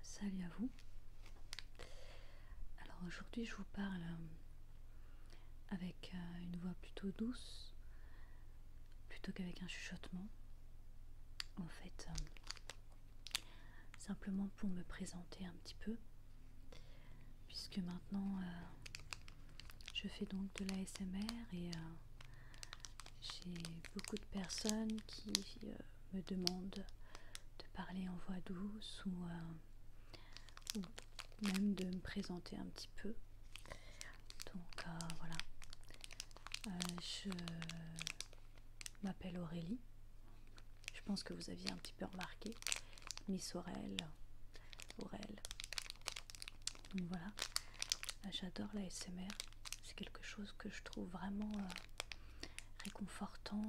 Salut à vous. Alors aujourd'hui je vous parle euh, avec euh, une voix plutôt douce plutôt qu'avec un chuchotement. En fait, euh, simplement pour me présenter un petit peu puisque maintenant je fais donc de l'ASMR et j'ai beaucoup de personnes qui euh, me demandent de parler en voix douce euh, ou, même de me présenter un petit peu. Donc euh, voilà, je m'appelle Aurélie. Je pense que vous aviez un petit peu remarqué Miss Aurélie. Aurélie. Donc voilà. Ah, j'adore la c'est quelque chose que je trouve vraiment euh, réconfortant,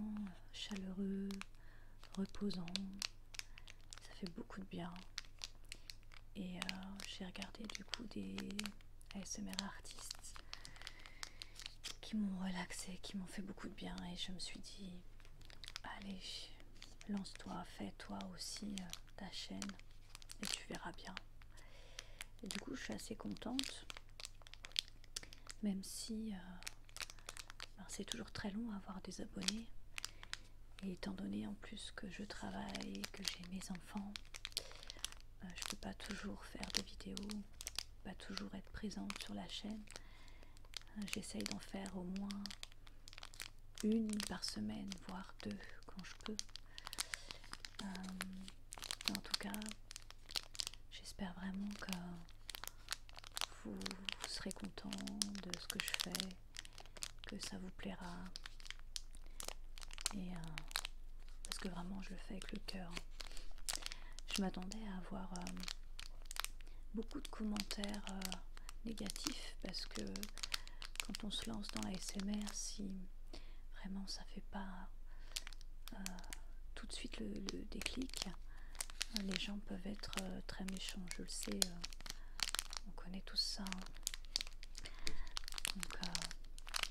chaleureux, reposant. Ça fait beaucoup de bien. Et euh, j'ai regardé du coup des ASMR artistes qui m'ont relaxé, qui m'ont fait beaucoup de bien. Et je me suis dit, allez, lance-toi, fais-toi aussi euh, ta chaîne et tu verras bien. du coup, je suis assez contente, même si euh, ben, c'est toujours très long à avoir des abonnés. Et étant donné en plus que je travaille, que j'ai mes enfants, euh, je peux pas toujours faire de vidéos, pas toujours être présente sur la chaîne. Euh, j'essaye d'en faire au moins une par semaine, voire deux quand je peux. En tout cas, j'espère vraiment que vous, serez content de ce que je fais, que ça vous plaira. Et euh, parce que vraiment, je le fais avec le cœur. Je m'attendais à avoir euh, beaucoup de commentaires euh, négatifs parce que quand on se lance dans la SMR, si Vraiment, ça fait pas euh, tout de suite le, déclic. Les gens peuvent être euh, très méchants, je le sais. Euh, on connaît tous ça. Hein.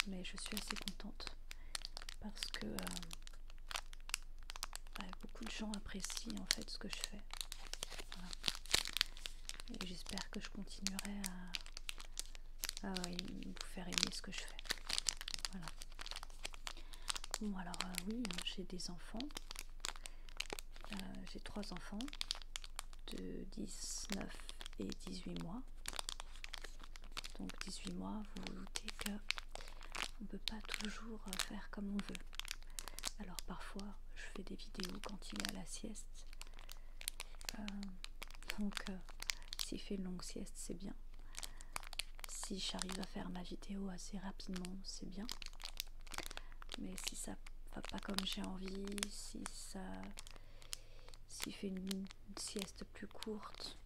mais je suis assez contente parce que bah, beaucoup de gens apprécient en fait ce que je fais. Et j'espère que je continuerai à vous ah faire aimer ce que je fais. Voilà. Bon alors euh, oui, hein, j'ai des enfants. Euh, j'ai trois enfants de 19 et 18 mois. Donc 18 mois, vous vous doutez que on peut pas toujours euh, faire comme on veut. Alors parfois je fais des vidéos quand il y à la sieste euh, donc, si euh, s'il fait une longue sieste, c'est bien. Si j'arrive à faire ma vidéo assez rapidement, c'est bien. Mais si ça va pas comme j'ai envie, si ça. S'il fait une, une sieste plus courte,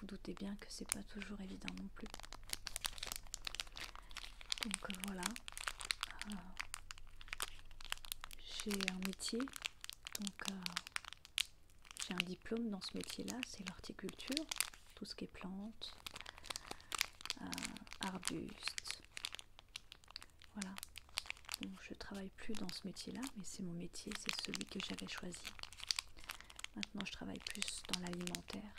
vous doutez bien que c'est pas toujours évident non plus. Donc voilà, ah. j'ai un métier, donc euh, j'ai un diplôme dans ce métier-là, c'est l'horticulture, tout ce qui est plantes, euh, arbustes, voilà. donc je travaille plus dans ce métier-là, mais c'est mon métier, c'est celui que j'avais choisi. Maintenant, je travaille plus dans l'alimentaire,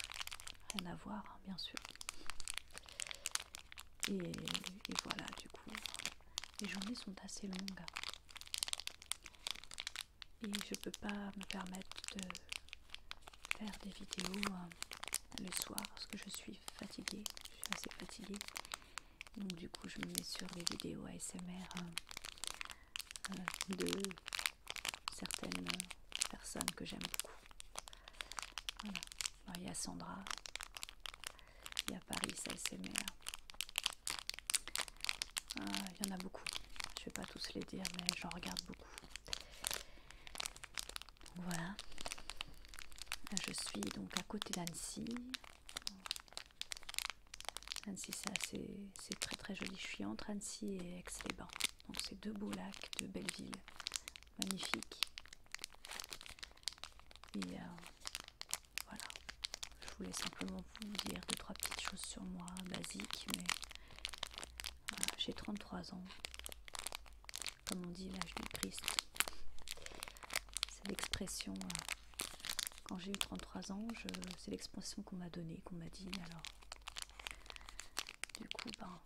rien à voir, hein, bien sûr. Et, et voilà, du coup. Les journées sont assez longues. Et je ne peux pas me permettre de faire des vidéos hein, le soir parce que je suis fatiguée. Je suis assez fatiguée. Donc du coup je me mets sur les vidéos ASMR hein, euh, de certaines personnes que j'aime beaucoup. Il y a Sandra, il y a Paris, ASMR. Hein. Ah, il y en a beaucoup. Je ne vais pas tous les dire, mais j'en regarde beaucoup. Voilà. Je suis donc à côté d'Annecy. Annecy, c'est très très joli. Je suis entre Annecy et Aix-les-Bains. Donc c'est deux beaux lacs, deux belles villes magnifique. Et euh, voilà, je voulais simplement vous dire deux trois petites choses sur moi, basiques, mais j'ai 33 ans, comme on dit l'âge du Christ. C'est l'expression. Euh, quand j'ai eu 33 ans, c'est l'expression qu'on m'a donnée, qu'on m'a dit. Alors, du coup, ben,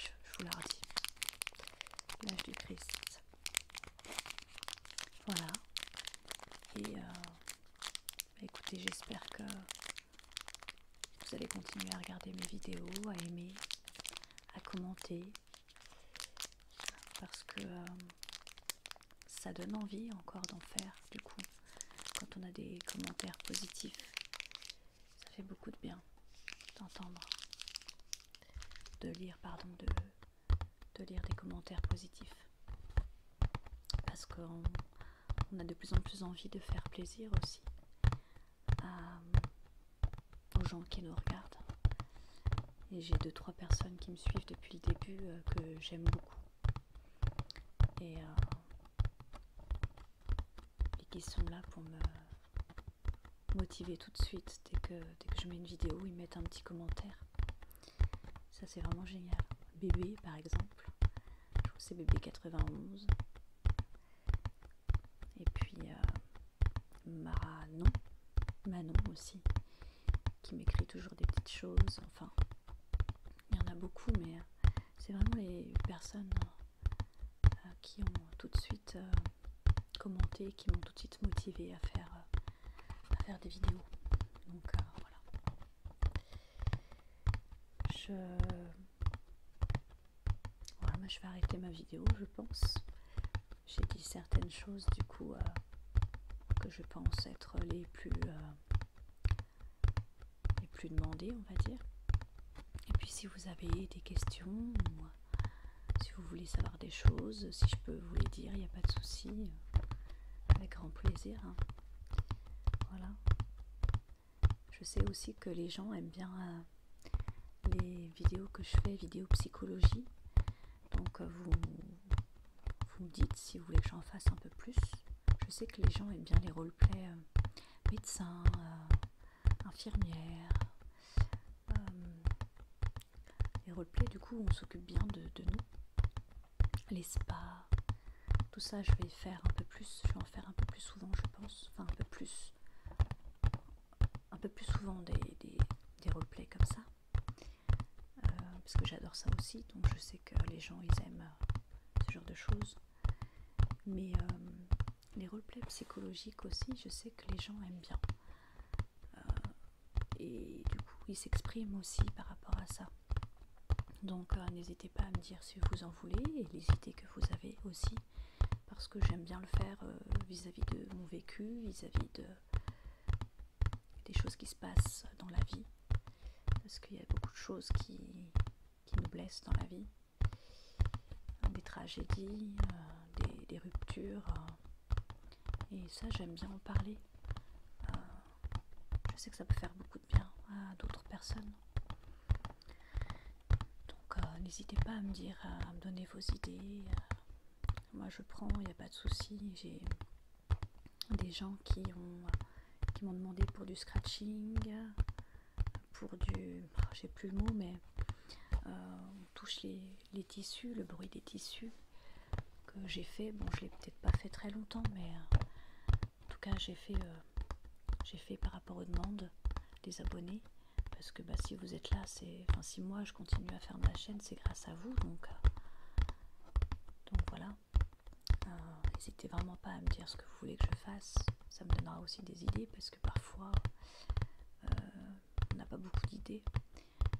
je, vous la redis. L'âge du Christ. Voilà. Et euh, bah, écoutez, j'espère que vous allez continuer à regarder mes vidéos, à aimer, à commenter. Parce que euh, ça donne envie encore d'en faire du coup. Quand on a des commentaires positifs, ça fait beaucoup de bien d'entendre, de lire, pardon, de, de lire des commentaires positifs. Parce qu'on a de plus en plus envie de faire plaisir aussi euh, aux gens qui nous regardent. Et j'ai deux, trois personnes qui me suivent depuis le début euh, que j'aime beaucoup. Euh, et qui sont là pour me motivé tout de suite dès que, je mets une vidéo, ils mettent un petit commentaire. Ça c'est vraiment génial. Bébé par exemple, je trouve c'est bébé 91. Et puis euh, Manon aussi, qui m'écrit toujours des petites choses. Enfin, il y en a beaucoup, mais euh, c'est vraiment les personnes euh, qui ont tout de suite commenter, qui m'ont tout de suite motivé à faire, euh, faire des vidéos. Donc euh, voilà. Je... je vais arrêter ma vidéo, je pense. J'ai dit certaines choses du coup euh, que je pense être les plus, les plus demandées, on va dire. Et puis si vous avez des questions, si vous voulez savoir des choses, si je peux vous les dire, il n'y a pas de souci. Avec grand plaisir. Hein. Voilà. Je sais aussi que les gens aiment bien euh, les vidéos que je fais, vidéos psychologie. Donc euh, vous, vous me dites si vous voulez que j'en fasse un peu plus. Je sais que les gens aiment bien les roleplays euh, médecin, médecins, infirmières, euh, les roleplays, du coup, on s'occupe bien de, nous. Les spas, tout ça, je vais faire un peu plus. Je vais en faire un peu plus souvent, je pense. Enfin, un peu plus. Un peu plus souvent des, roleplays comme ça. Euh, parce que j'adore ça aussi, donc je sais que les gens ils aiment euh, ce genre de choses. Mais les roleplays psychologiques aussi, je sais que les gens aiment bien. Euh, et du coup, ils s'expriment aussi par rapport à ça. Donc, euh, n'hésitez pas à me dire si vous en voulez et les idées que vous avez aussi, parce que j'aime bien le faire euh, vis-à-vis de mon vécu, vis-à-vis des choses qui se passent dans la vie, parce qu'il y a beaucoup de choses qui nous blessent dans la vie euh, des tragédies, euh, des, ruptures. Euh, et ça, j'aime bien en parler. je sais que ça peut faire beaucoup de bien à d'autres personnes. Donc, n'hésitez pas à me dire, à me donner vos idées. Moi, je prends, il n'y a pas de souci. J'ai des gens qui ont qui m'ont demandé pour du scratching, pour du j'ai plus le mot mais euh, on touche les, tissus le bruit des tissus que j'ai fait bon je l'ai peut-être pas fait très longtemps mais euh, en tout cas j'ai fait euh, j'ai fait par rapport aux demandes des abonnés parce que bah, si vous êtes là c'est enfin si moi je continue à faire ma chaîne c'est grâce à vous donc donc voilà n'hésitez vraiment pas à me dire ce que vous voulez que je fasse ça me donnera aussi des idées parce parce que parfois euh, on n'a pas beaucoup d'idées.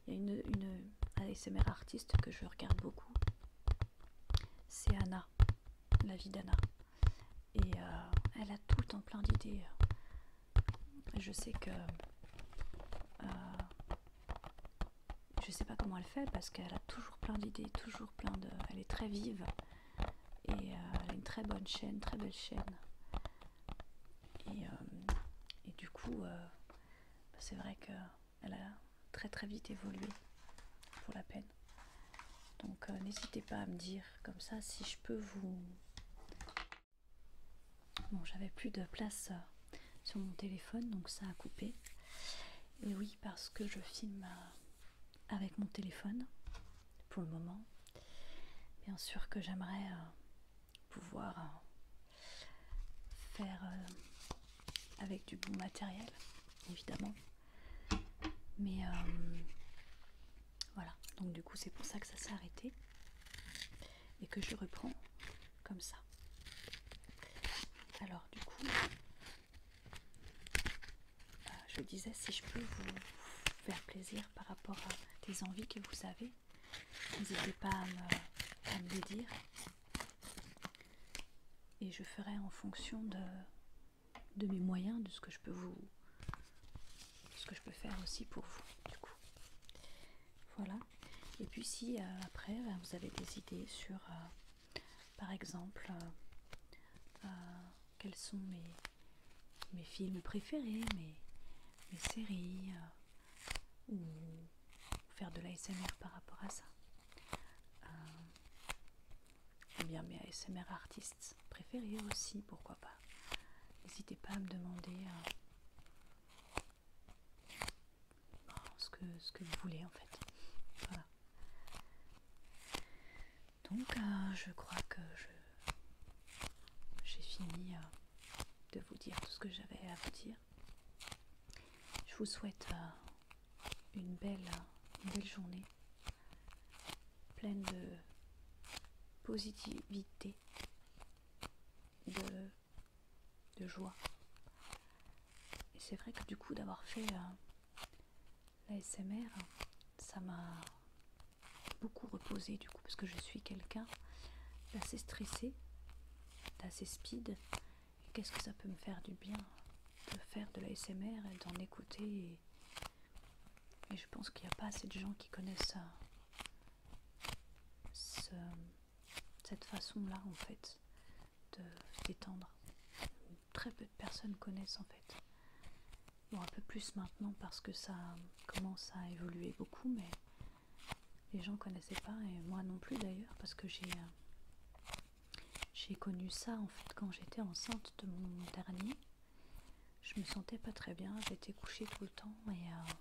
Il y a une, ASMR artiste que je regarde beaucoup, c'est Anna, la vie d'Anna. Et euh, elle a tout le temps plein d'idées. Je sais que. je euh, je sais pas comment elle fait parce qu'elle a toujours plein d'idées, toujours plein de. Elle est très vive et elle euh, a une très bonne chaîne, très belle chaîne. Et, euh, du coup, euh, bah, c'est vrai qu'elle a très très vite évolué pour la peine. Donc n'hésitez pas à me dire comme ça si je peux vous... Bon, j'avais plus de place sur mon téléphone, donc ça a coupé. Et oui, parce que je filme avec mon téléphone pour le moment. Bien sûr que j'aimerais euh, pouvoir euh, faire euh, avec du bon matériel, évidemment. Mais voilà, donc du coup c'est pour ça que ça s'est arrêté et que je reprends comme ça. Alors du coup, euh, je disais si je peux vous faire plaisir par rapport à des envies que vous avez, n'hésitez pas à me, les dire et je ferai en fonction de, de mes moyens, de ce que je peux vous ce que je peux faire aussi pour vous Voilà. Et puis si euh, après vous avez des idées sur euh, par exemple quels sont mes, mes films préférés, mes, mes séries, euh, ou faire de l'ASMR par rapport à ça. Euh, ou bien mes ASMR artistes préférés aussi, pourquoi pas. N'hésitez pas à me demander euh, ce, que, ce que vous voulez en fait. Voilà. Donc, euh, je crois que j'ai fini euh, de vous dire tout ce que j'avais à vous dire. Je vous souhaite euh, une, belle, belle journée, pleine de positivité, de, de joie. Et c'est vrai que du coup, d'avoir fait S.M.R. ça m'a beaucoup reposé du coup parce que je suis quelqu'un d'assez stressé, d'assez speed. qu'est-ce que ça peut me faire du bien de faire de l'ASMR et d'en écouter et, je pense qu'il n'y a pas assez de gens qui connaissent cette façon-là, en fait, de détendre, très peu de personnes connaissent en fait. Bon, un peu plus maintenant parce que ça commence à évoluer beaucoup, mais les gens connaissaient pas, et moi non plus d'ailleurs, parce que j'ai euh, J'ai connu ça en fait quand j'étais enceinte de mon dernier. Je me sentais pas très bien, j'étais couchée tout le temps et, euh,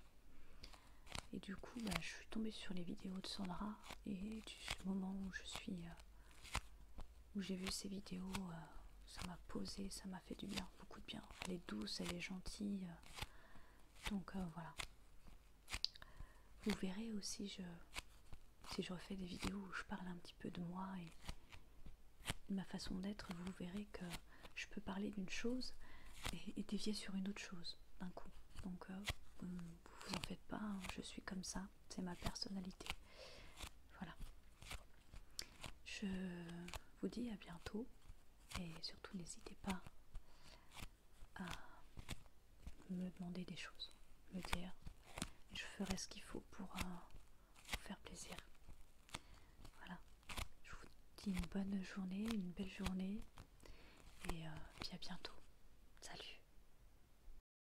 et du coup bah, je suis tombée sur les vidéos de Sandra et du moment où je suis euh, où j'ai vu ces vidéos, euh, ça m'a posé, ça m'a fait du bien, beaucoup de bien. Elle est douce, elle est gentille. Euh, donc euh, voilà. Vous verrez aussi je, si je refais des vidéos où je parle un petit peu de moi et de ma façon d'être, vous verrez que je peux parler d'une chose et, dévier sur une autre chose d'un coup. Donc vous, vous en faites pas, hein, je suis comme ça, c'est ma personnalité. Voilà. Je vous dis à bientôt et surtout n'hésitez pas à me demander des choses, me dire, je ferai ce qu'il faut pour euh, vous faire plaisir. Voilà. Je vous dis une bonne journée, une belle journée et euh, puis à bientôt. Salut